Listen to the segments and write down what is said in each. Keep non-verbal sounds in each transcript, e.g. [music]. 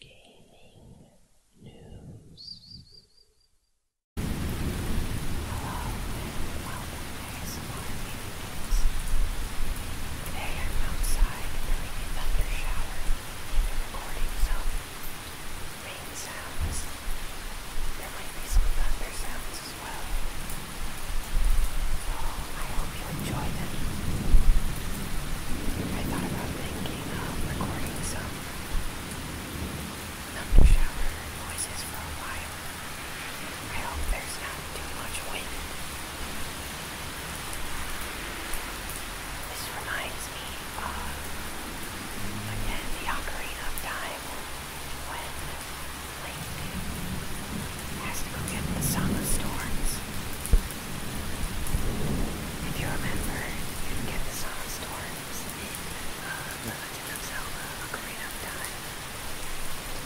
Gaming News. Hello welcome to ASMR News. Today I'm outside during a thunder shower I'm recording some rain sounds. There might be some thunder sounds as well. I hope you enjoyed it. I thought about thinking of recording some thunder shower noises for a while. I hope there's not too much wind. This reminds me of, again, the Ocarina Time when Link has to go get the Song of Storms. If you remember, you can get the Song of Storms in uh, The Legend of Zelda Ocarina of Time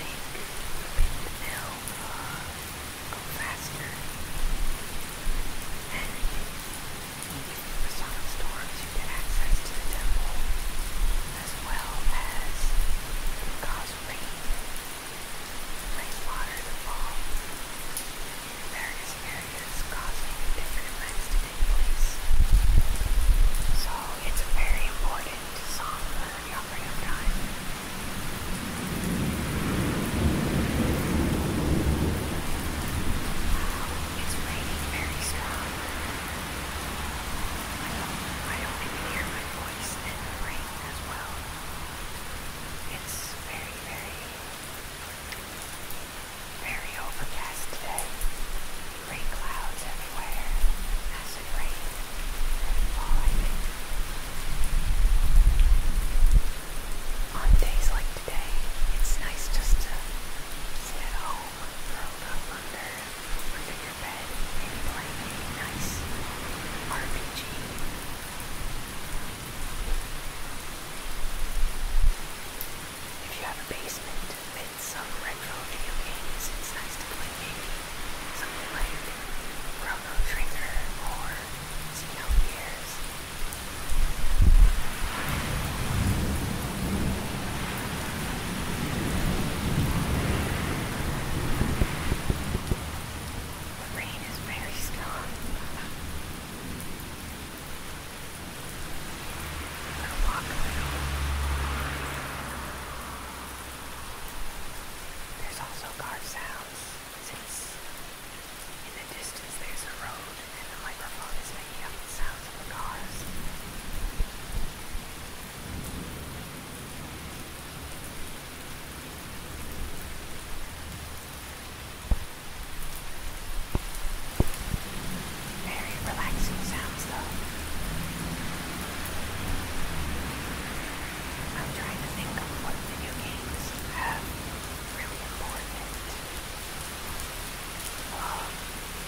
make the pink uh, go faster. And you get the Song of Storms, you access the temple as well as cause rain, rain water to fall in various areas causing different events to take place. So it's very important song for the operative time. it's raining very strong. I hope you can hear my voice in the rain as well. It's very, very, very overcast today. Rain clouds everywhere. Acid rain falling. On days like today, it's nice just to sit home, curled up under under your bed, maybe playing a nice RPG. If you have a basement with some retro video games, it's nice to play maybe something like Chrono Trigger or Xenogears. The rain is very strong. I'm gonna walk a little. There's also car sounds since in the distance there's a road and the microphone is making up the sounds of the cars. Very relaxing sounds though. I'm trying to think of what video games have really important. Uh,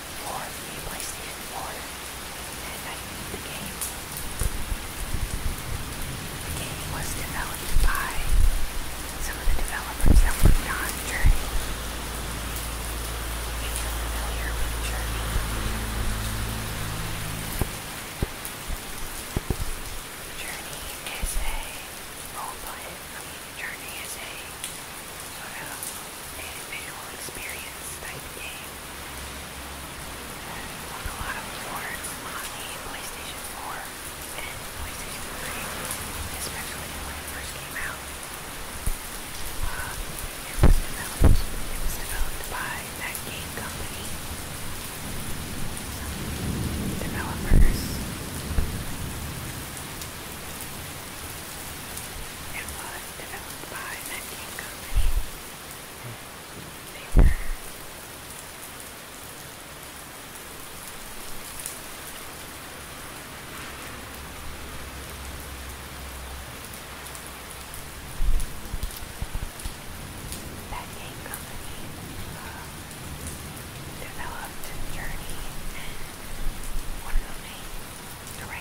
for the PlayStation the game. The game was developed by some of the developers that worked on Journey. If you're familiar with Journey, Journey is a role play. Journey is a uh, a visual experience type game with a lot of rewards on the PlayStation 4 and PlayStation 3, especially when it first came out. Uh, it was developed. It was developed by that game company. Some developers. It was developed by that game company. Uh, developed Journey and one of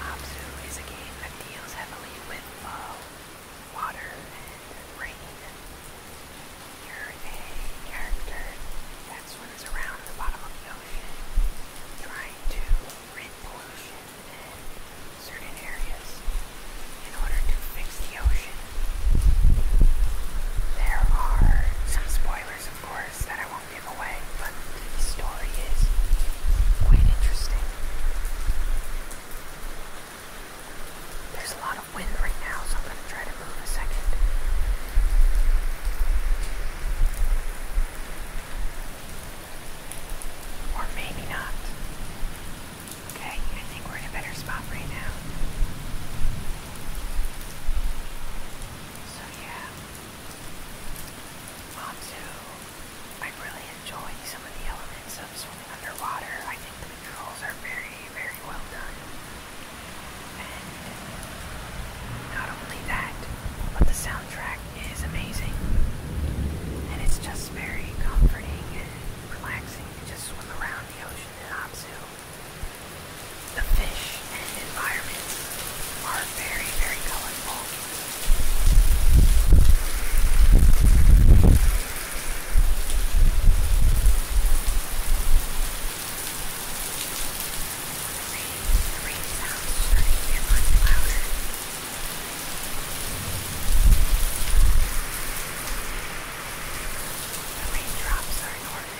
Abzu is a game that deals heavily with uh, water and rain. You're a character that swims around the bottom of the ocean trying to rid pollution and certain areas in order to fix the ocean. There are some spoilers, of course, that I small giveaway, but the story is quite interesting. There's a lot of wind right now, so I'm going to try to move a second. Or maybe not. Okay, I think we're in a better spot right now. So, yeah. Onto, I really enjoy some of the elements of swimming underwater. I think the controls are very, very well done. And not only that, but the soundtrack is amazing. And it's just very comforting and relaxing to just swim around the ocean in Abzu. The fish and environment are very, very colorful. The rain, sounds starting to louder. The raindrops are enormous.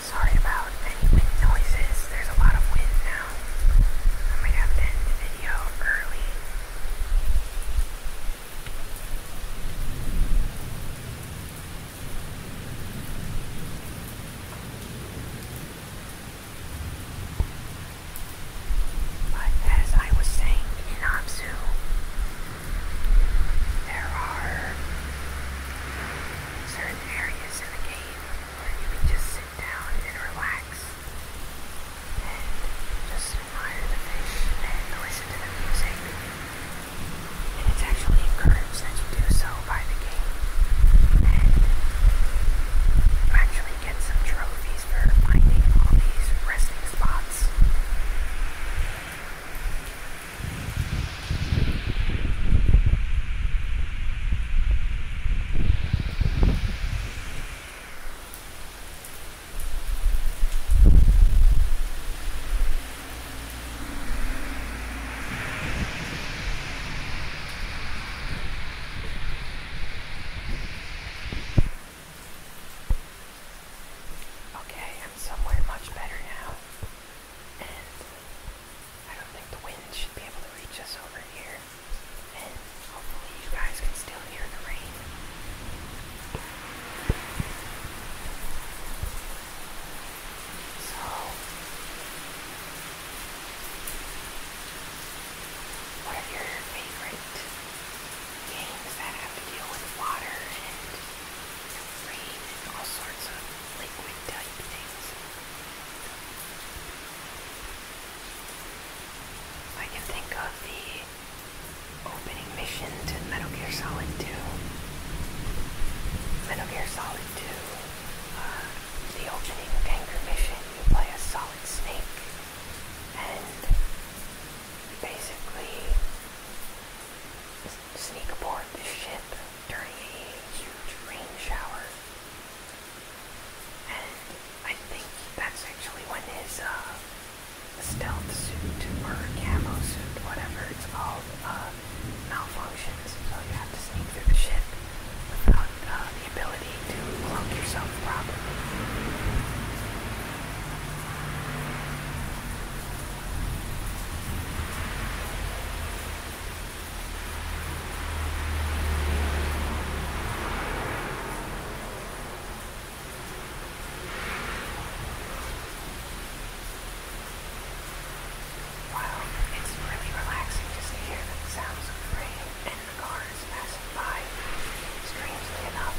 Sorry about any noises. There's a lot of wind now. I might have to end the video early. But as I was saying in Abzu, there are certain areas in the game where you can just sit down and relax and just admire the fish and listen to the music. And it's actually encouraged that you do so by the game. And actually to get some trophies for finding all these resting spots. Okay, I'm somewhere much better now. And I don't think the wind should be able to reach us over here. And hopefully you guys can still hear the rain. So what your favorite games that have to deal with water and rain and all sorts of liquid type things. I can think of the opening mission to Metal Gear Solid 2. Metal Gear Solid 2, uh, the opening anchor mission, you play a Solid Snake, and basically sneak aboard the ship during a huge rain shower. And I think that's actually when his uh, stealth suit or camo suit, whatever it's called, uh, malfunctions. So you have to sneak through the ship without uh, the ability to clone yourself properly. Wow, it's really relaxing just to hear the sounds of the rain of cars passing by, strangely enough.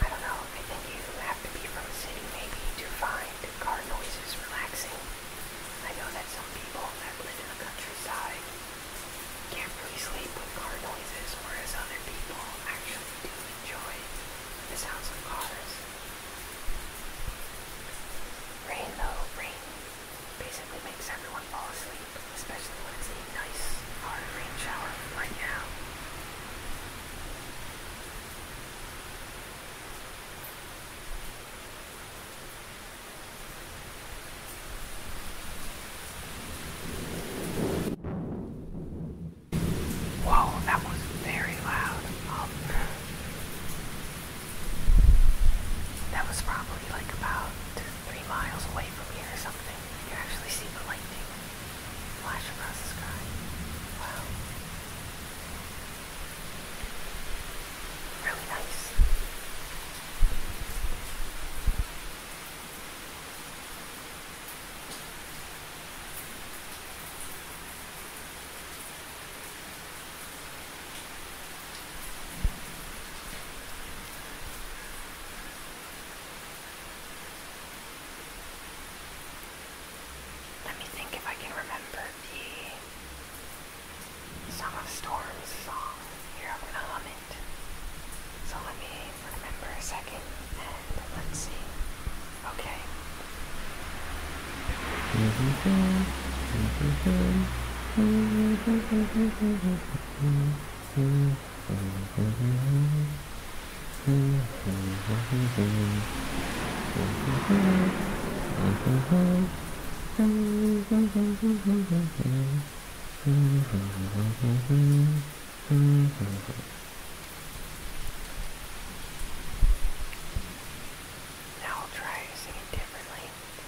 I don't know, I think you have to be from a city maybe to find car noises relaxing. I know that some people that live in the countryside can't really sleep with car noises, whereas other people actually do enjoy the sounds of cars. Rain though, rain basically makes everyone fall asleep, especially when it's a nice, hard rain shower right now. Whoa, that was very loud. Um, that was probably like about three miles away from here or something, you can actually see the lightning flash across the sky. Wow. Really nice. Let me think if I can remember the Song of Storms song. Here, I'm gonna hum it. So let me remember a second and let's see. Okay. Mm-hmm. Mm-hmm. Now I'll try to sing it differently.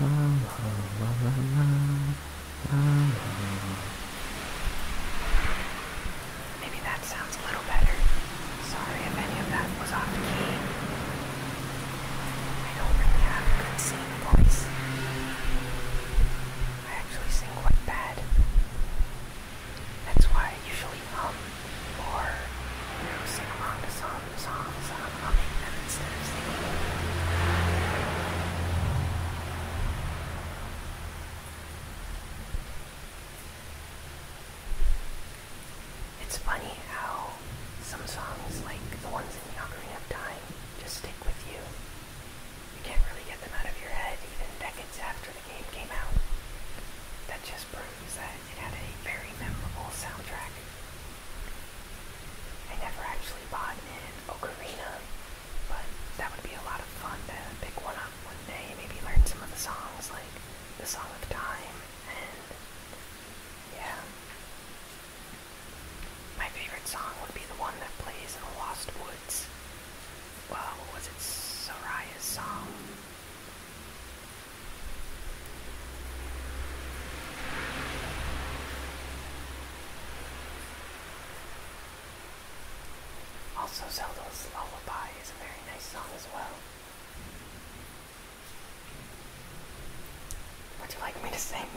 Maybe that sounds a little better. Sorry if any of that was off key. I don't really have a good singing voice. I actually sing quite bad. That's why I usually hum or sing along to songs. It's funny how some songs, like the ones in the Ocarina of Time, just stick with you. You can't really get them out of your head even decades after the game came out. That just proves that it had a very memorable soundtrack. I never actually bought an ocarina, but that would be a lot of fun to pick one up one day, maybe learn some of the songs, like the Song of Time, and yeah. My favorite song would be the one that plays in the Lost Woods. Well, was it? Soraya's song? Also, Zelda's Lullaby is a very nice song as well. Would you like me to sing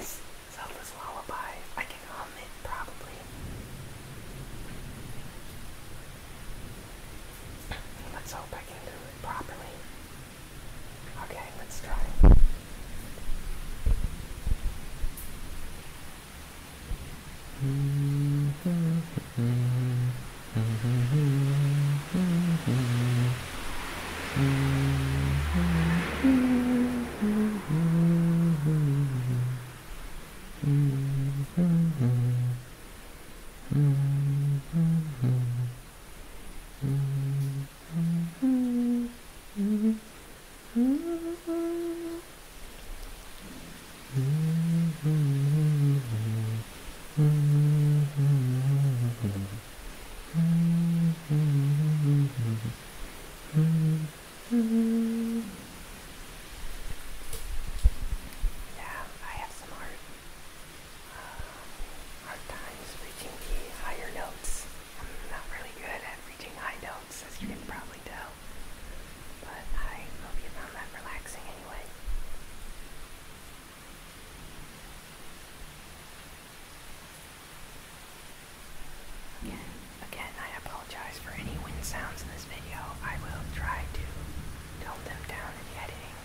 Zelda's Lullaby? I can hum it probably. Let's hope I can do it properly. Okay, let's try. [laughs] Yeah, I have some art uh, hard times reaching the higher notes. I'm not really good at reaching high notes, as you can probably tell. But I hope you found that relaxing anyway. Again, again, I apologize for any wind sounds in this video. I will try to tone them down in the editing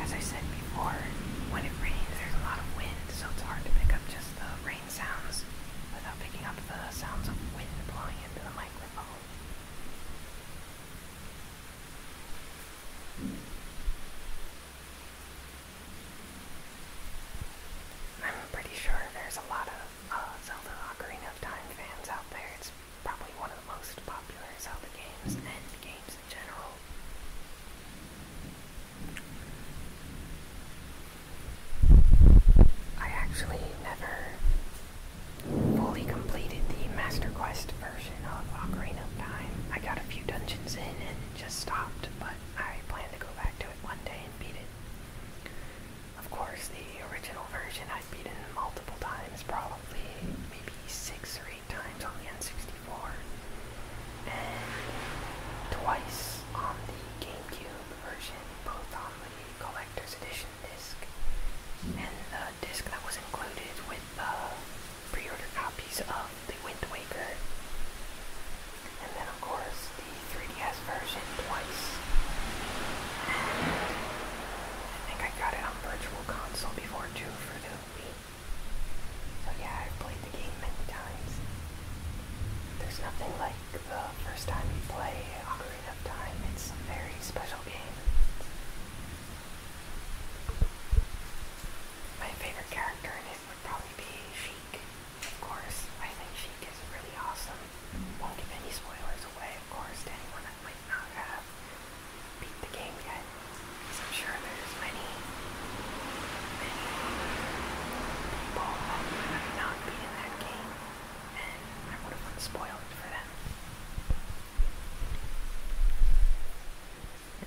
as I said before, when it rains there's a lot of wind, so it's hard to pick up just the rain sounds without picking up the sounds of wind blowing into the microphone. I'm pretty sure there's a lot of uh, Zelda Ocarina of Time fans out there probably one of the most popular Zelda games and games in general. I actually never fully completed the Master Quest version of Ocarina of Time. I got a few dungeons in and just stopped, but I plan to go back to it one day and beat it. Of course, the original version I've beaten multiple times, probably maybe six or eight times on the N64, and twice on the GameCube version, both on the Collector's Edition disc and the disc that was included with the pre-order copies of the Wind Waker. And then, of course, the 3DS version twice. I think I got it on Virtual Console before too for the Wii. So yeah, I've played the game many times. There's nothing like the first time you play Ocarina of It's a very special game. My favorite character in it would probably be Sheik. Of course, I think Sheik is really awesome. Won't give any spoilers away, of course, to anyone I might not have beat the game yet. Because I'm sure there's many, many people who might have not in that game. And I would have spoiled for them.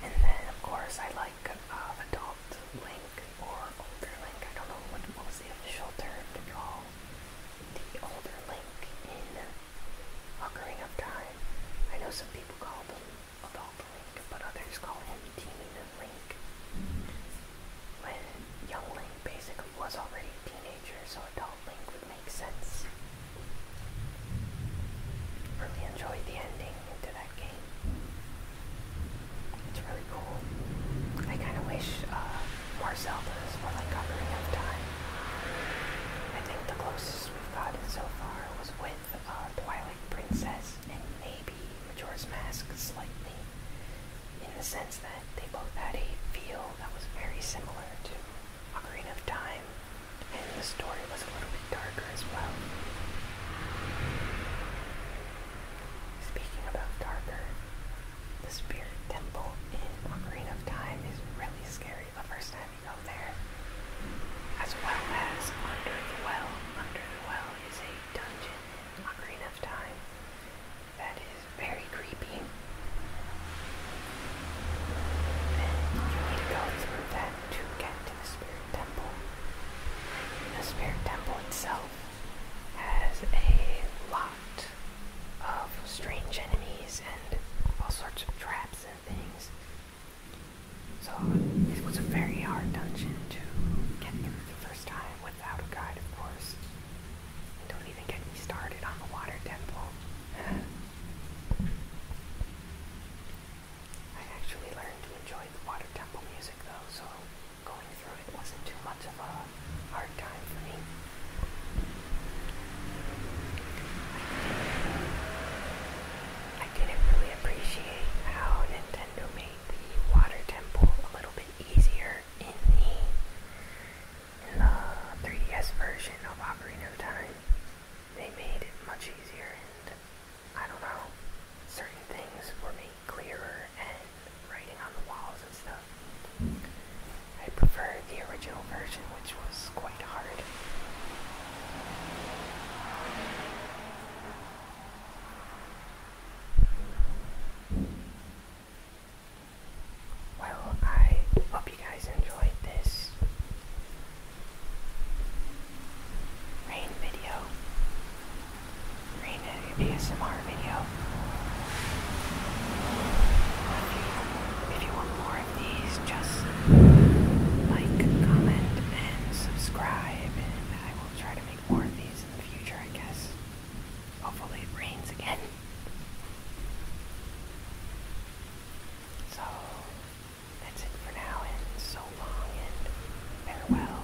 And then, of course, I like uh, adult Link or older Link. I don't know what was the official term to call the older link in Ocarina of Time. I know some people call them Adult Link, but others call him Teen Link. When Young Link basically was already a teenager, so Adult Link would make sense. Really enjoyed the ending to that game. It's really cool. I kind of wish uh, more Zeldas for like Ocarina of Time. I think the closest we've gotten so far was with uh, Twilight Princess and maybe Majora's Mask slightly, in the sense that they both had a feel that was very similar to Ocarina of Time, and the story was a little bit darker as well. Speaking about darker, the Spirit Temple in Ocarina of Time is really scary the first time you go there. As well as Under the Well. Under the Well is a dungeon in Ocarina of Time that is very creepy. And you need to go through that to get to the Spirit Temple. The Spirit Temple itself has a lot of strange enemies and all sorts of traps and things. So it was a very hard dungeon to get through the first time without a guide, of course. don't even get me started on the water temple. I actually learned to enjoy the water temple music though, so going through it wasn't too much of a hard time for me. I didn't really appreciate how Nintendo made the water temple a little bit easier in the, in the 3DS version of Ocarina of Time. They made it much easier and I don't know, certain things were made clearer and writing on the walls and stuff. I prefer the original version, which was quite hard. Well, I hope you guys enjoyed this rain video, rain ASMR video. if you want more of these, just like, comment, and subscribe, and I will try to make more of these in the future, I guess. Hopefully it rains again. So, that's it for now, and so long, and farewell.